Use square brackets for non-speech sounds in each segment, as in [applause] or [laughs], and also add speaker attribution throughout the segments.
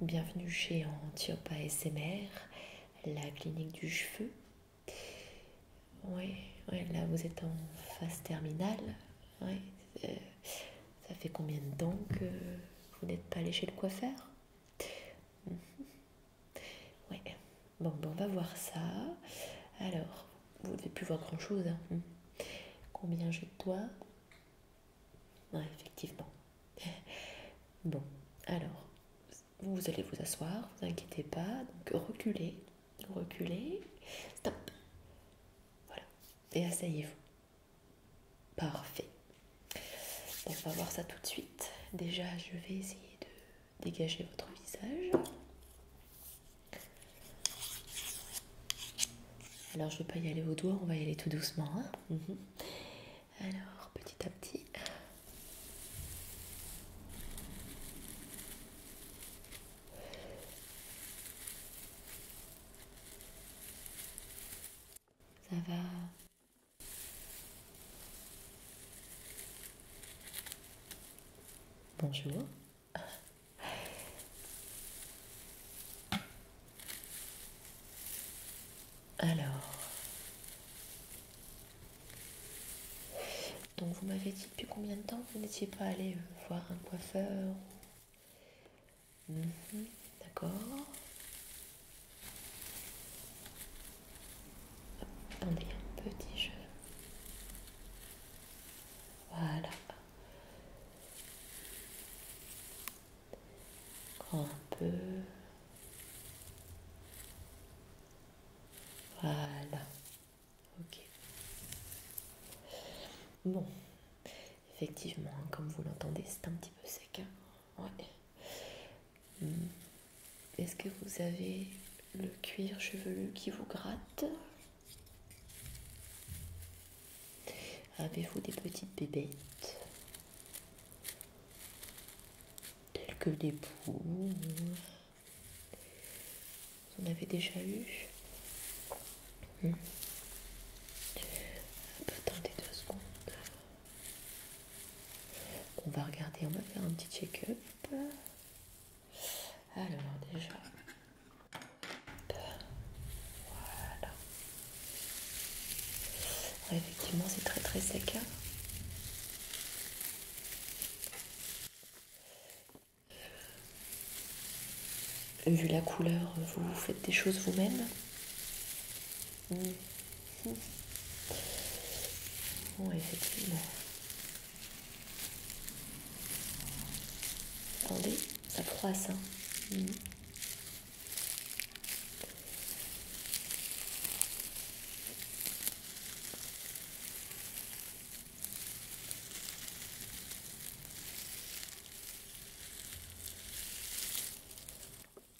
Speaker 1: Bienvenue chez Antiopa Smr, la clinique du cheveu. Oui, là vous êtes en phase terminale. Euh, ça fait combien de temps que vous n'êtes pas allé chez le coiffeur mhm. Oui. bon, on va voir ça. Alors, vous ne devez plus voir grand chose. Hein. Combien j'ai de doigts Ouais, effectivement. [laughs] Bon, alors, vous allez vous asseoir, vous inquiétez pas, donc reculez, reculez, stop. Voilà, et asseyez-vous. Parfait. on va voir ça tout de suite. Déjà, je vais essayer de dégager votre visage. Alors, je ne veux pas y aller au doigt, on va y aller tout doucement. Hein. Mhm. Alors, petit à petit. Ça va. Bonjour. Alors, donc vous m'avez dit depuis combien de temps vous n'étiez pas allé euh, voir un coiffeur mhm, D'accord. Attendez un petit jeu. Voilà. Encore un peu. Voilà. Ok. Bon. Effectivement, hein, comme vous l'entendez, c'est un petit peu sec. Hein. Hmm. Est-ce que vous avez le cuir chevelu qui vous gratte Avez-vous des petites bébêtes telles que des poules Vous en avez déjà eu Attendez hmm. deux secondes. On va regarder, on va faire un petit check-up. Alors déjà, voilà. effectivement, c'est très très sec. Hein. Vu la couleur, vous faites des choses vous-même. Mm-hmm. effectivement. Attendez, ça froisse. Hein. Mm.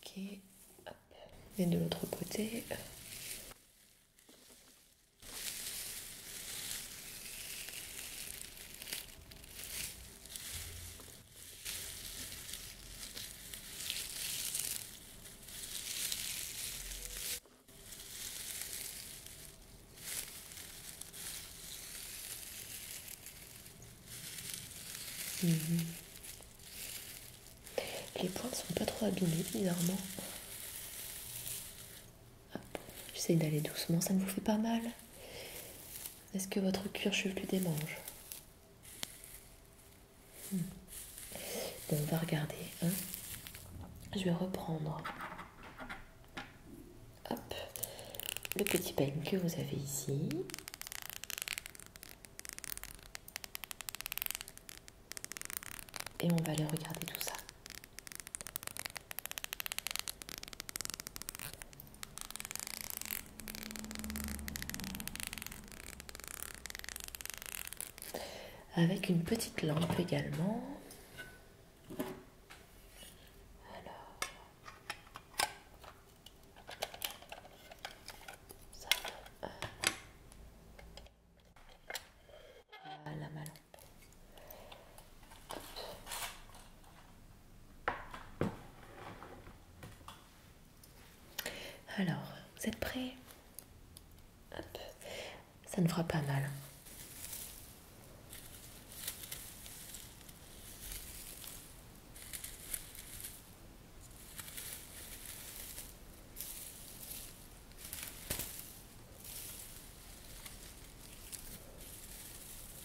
Speaker 1: Ok, hop, et de l'autre côté. Mhm. Les pointes sont pas trop abîmées, bizarrement. J'essaie d'aller doucement, ça ne vous fait pas mal. Est-ce que votre cuir chevelu démange hmm. on va regarder. Hein. Je vais reprendre. le petit peigne que vous avez ici. Et on va aller regarder tout ça. Avec une petite lampe également. Euh, alors, vous êtes prêts Ça ne fera pas mal.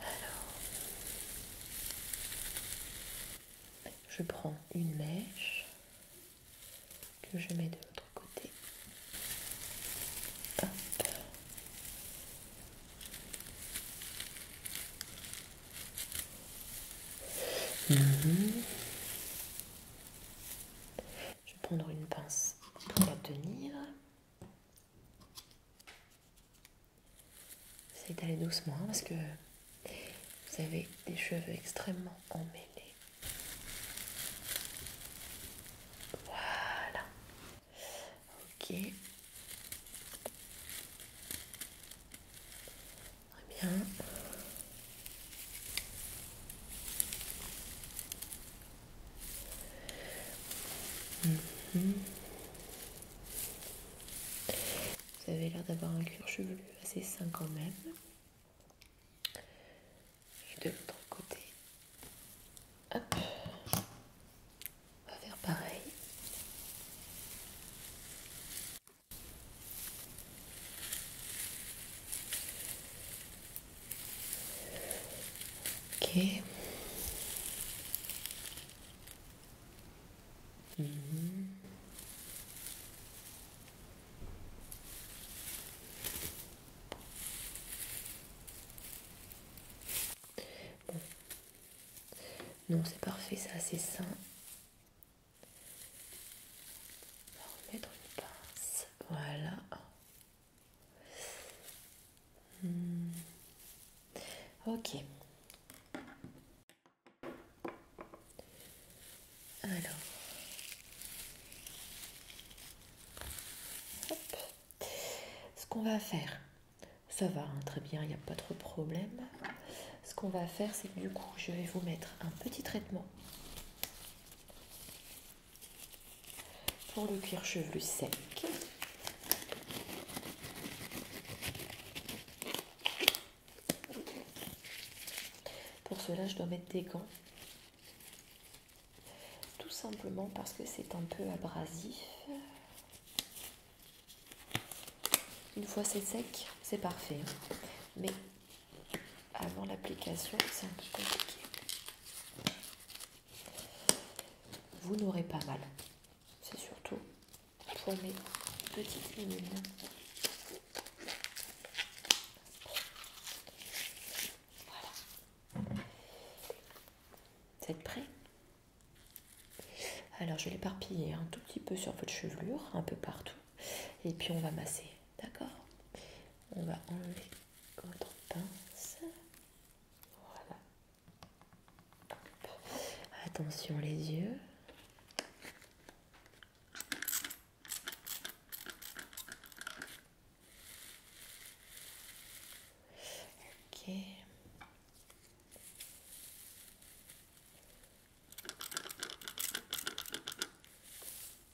Speaker 1: Alors, je prends une mèche que je mets de l'autre côté. Mhm. Je vais prendre une pince pour la tenir. Essayez d'aller doucement parce que vous avez des cheveux extrêmement emmêlés. Voilà. Ok. Très bien. Mhm. Vous avez l'air d'avoir un cuir chevelu assez sain quand même. de l'autre côté, hop, on va faire pareil. Ok. Mhm. Non, c'est parfait, ça, c'est sain. On va remettre une pince. Voilà. Hmm. Ok. Alors. Ce qu'on va faire, ça va hein, très bien, il n'y a pas trop de problème. Ce qu'on va faire, c'est que du coup, je vais vous mettre un petit traitement pour le cuir chevelu sec. Pour cela, je dois mettre des gants. Tout simplement parce que c'est un peu abrasif. Une fois c'est sec, c'est parfait. Hein. Mais avant l'application, c'est un peu compliqué. Vous n'aurez pas mal. C'est surtout pour mes petites mines. Voilà. Vous êtes prêts Alors, je vais l'éparpiller un tout petit peu sur votre chevelure, un peu partout. Et puis, on va masser. D'accord On va enlever votre pince. Voilà. Attention les yeux. Ok.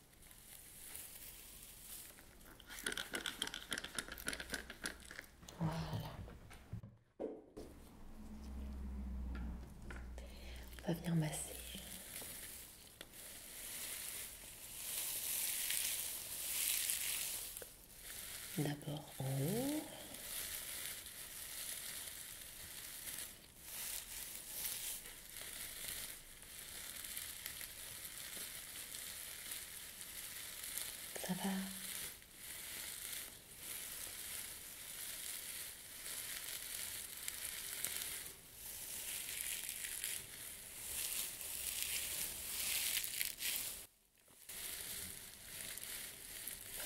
Speaker 1: On va venir masser. D'abord en haut. Ça va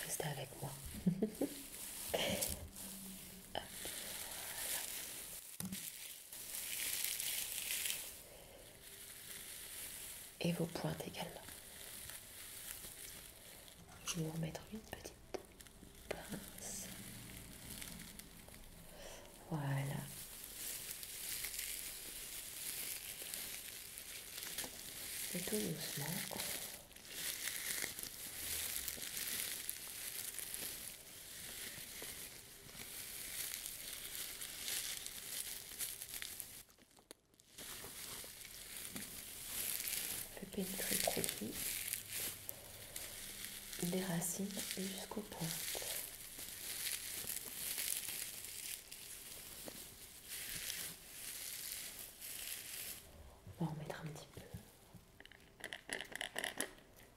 Speaker 1: Reste avec moi. [laughs] et vos pointes également. Je vais vous remettre une petite pince. Voilà. Et tout doucement. On peut pénétrer le produit des racines jusqu'aux pointes. On va en mettre un petit peu.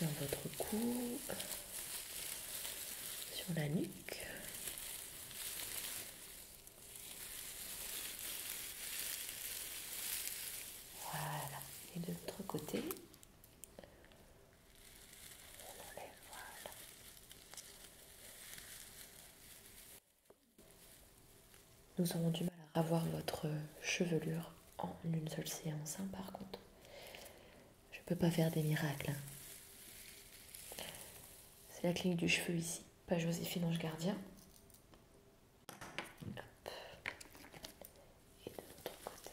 Speaker 1: dans votre cou, sur la nuque. Voilà, et de l'autre côté, Nous avons du mal à avoir votre chevelure en une seule séance, hein, par contre. Je peux pas faire des miracles. Hein. C'est la clinique du cheveu ici, pas Joséphine Ange Gardien. Et de l'autre côté.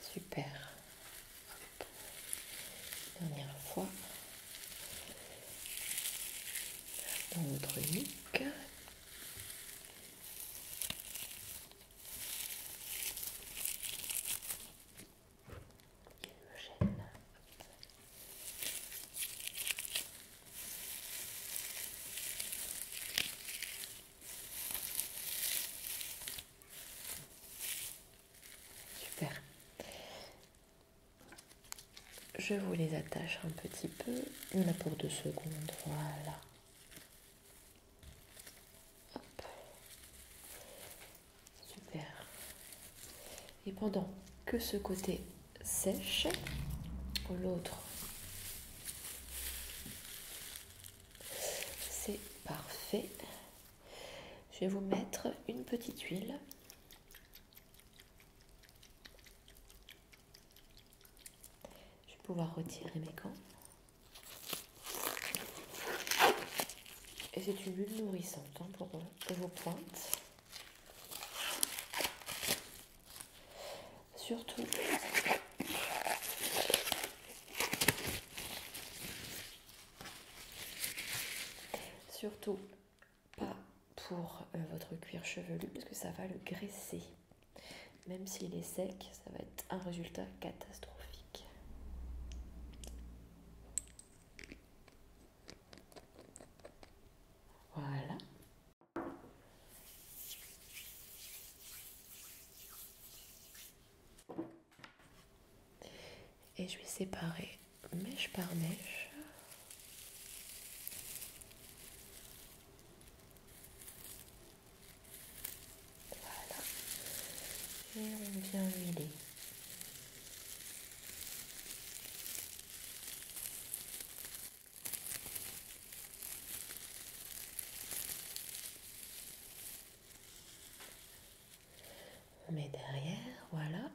Speaker 1: Super. Dernière fois. Dans notre Super. Je vous les attache un petit peu. là pour deux secondes. Voilà. Super. Et pendant que ce côté sèche, l'autre, c'est parfait. Je vais vous mettre une petite huile. Je vais pouvoir retirer mes gants. Et c'est une bulle nourrissante hein, euh, pour vos pointes. Surtout, surtout pas pour euh, votre cuir chevelu parce que ça va le graisser. Même s'il est sec, ça va être un résultat catastrophique. Voilà. Et je vais séparer mèche par mèche. Voilà. Et on vient huiler. On derrière, voilà.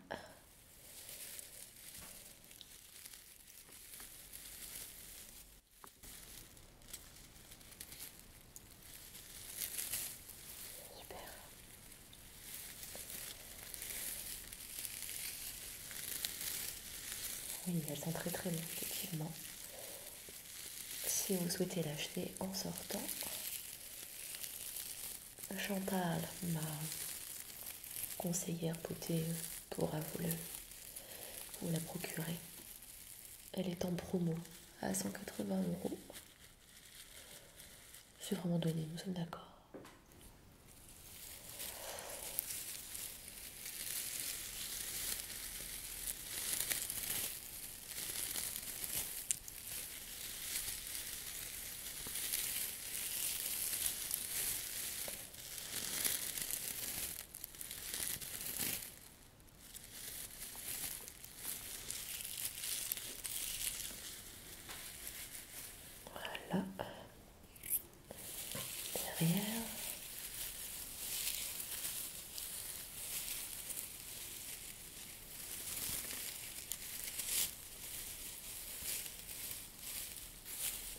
Speaker 1: Oui, elles sont très très bien, effectivement. Si vous souhaitez l'acheter en sortant, Chantal, ma conseillère beauté, pourra vous, le, vous la procurer. Elle est en promo à 180 euros sur vraiment donné, nous sommes d'accord. Voilà. Derrière.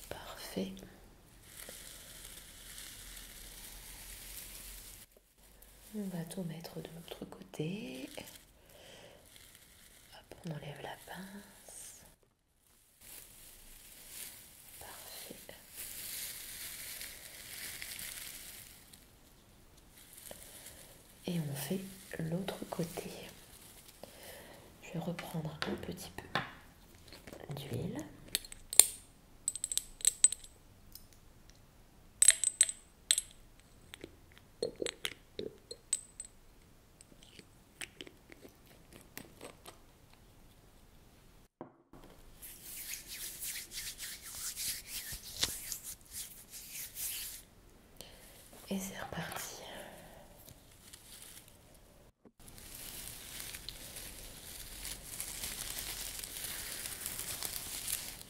Speaker 1: Parfait. On va tout mettre de l'autre côté. on enlève la pince. Parfait. Et on fait l'autre côté. Je vais reprendre un petit peu d'huile. Et c'est reparti.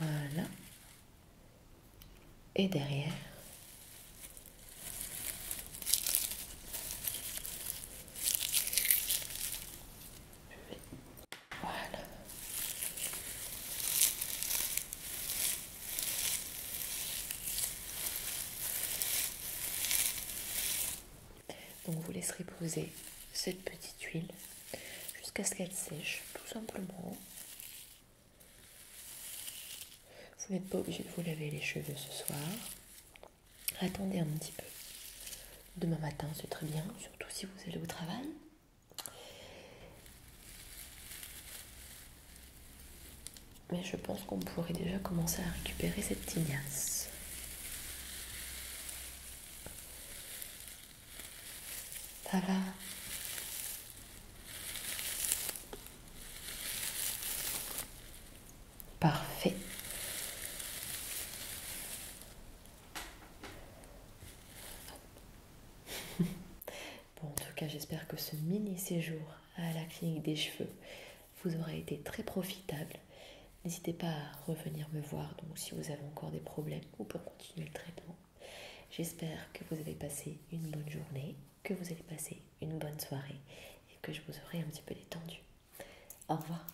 Speaker 1: Voilà. Et derrière. Voilà. Donc vous laisserez poser cette petite huile jusqu'à ce qu'elle sèche, tout simplement. Vous n'êtes pas obligé de vous laver les cheveux ce soir. Attendez un petit peu. Demain matin, c'est très bien, surtout si vous allez au travail. Mais je pense qu'on pourrait déjà commencer à récupérer cette tignasse. Ça va Parfait. [laughs] Bon, en tout cas, j'espère que ce mini séjour à la clinique des cheveux vous aura été très profitable. N'hésitez pas à revenir me voir donc si vous avez encore des problèmes ou pour continuer le traitement. J'espère que vous avez passé une bonne journée, que vous avez passé une bonne soirée et que je vous aurai un petit peu détendu. Au revoir.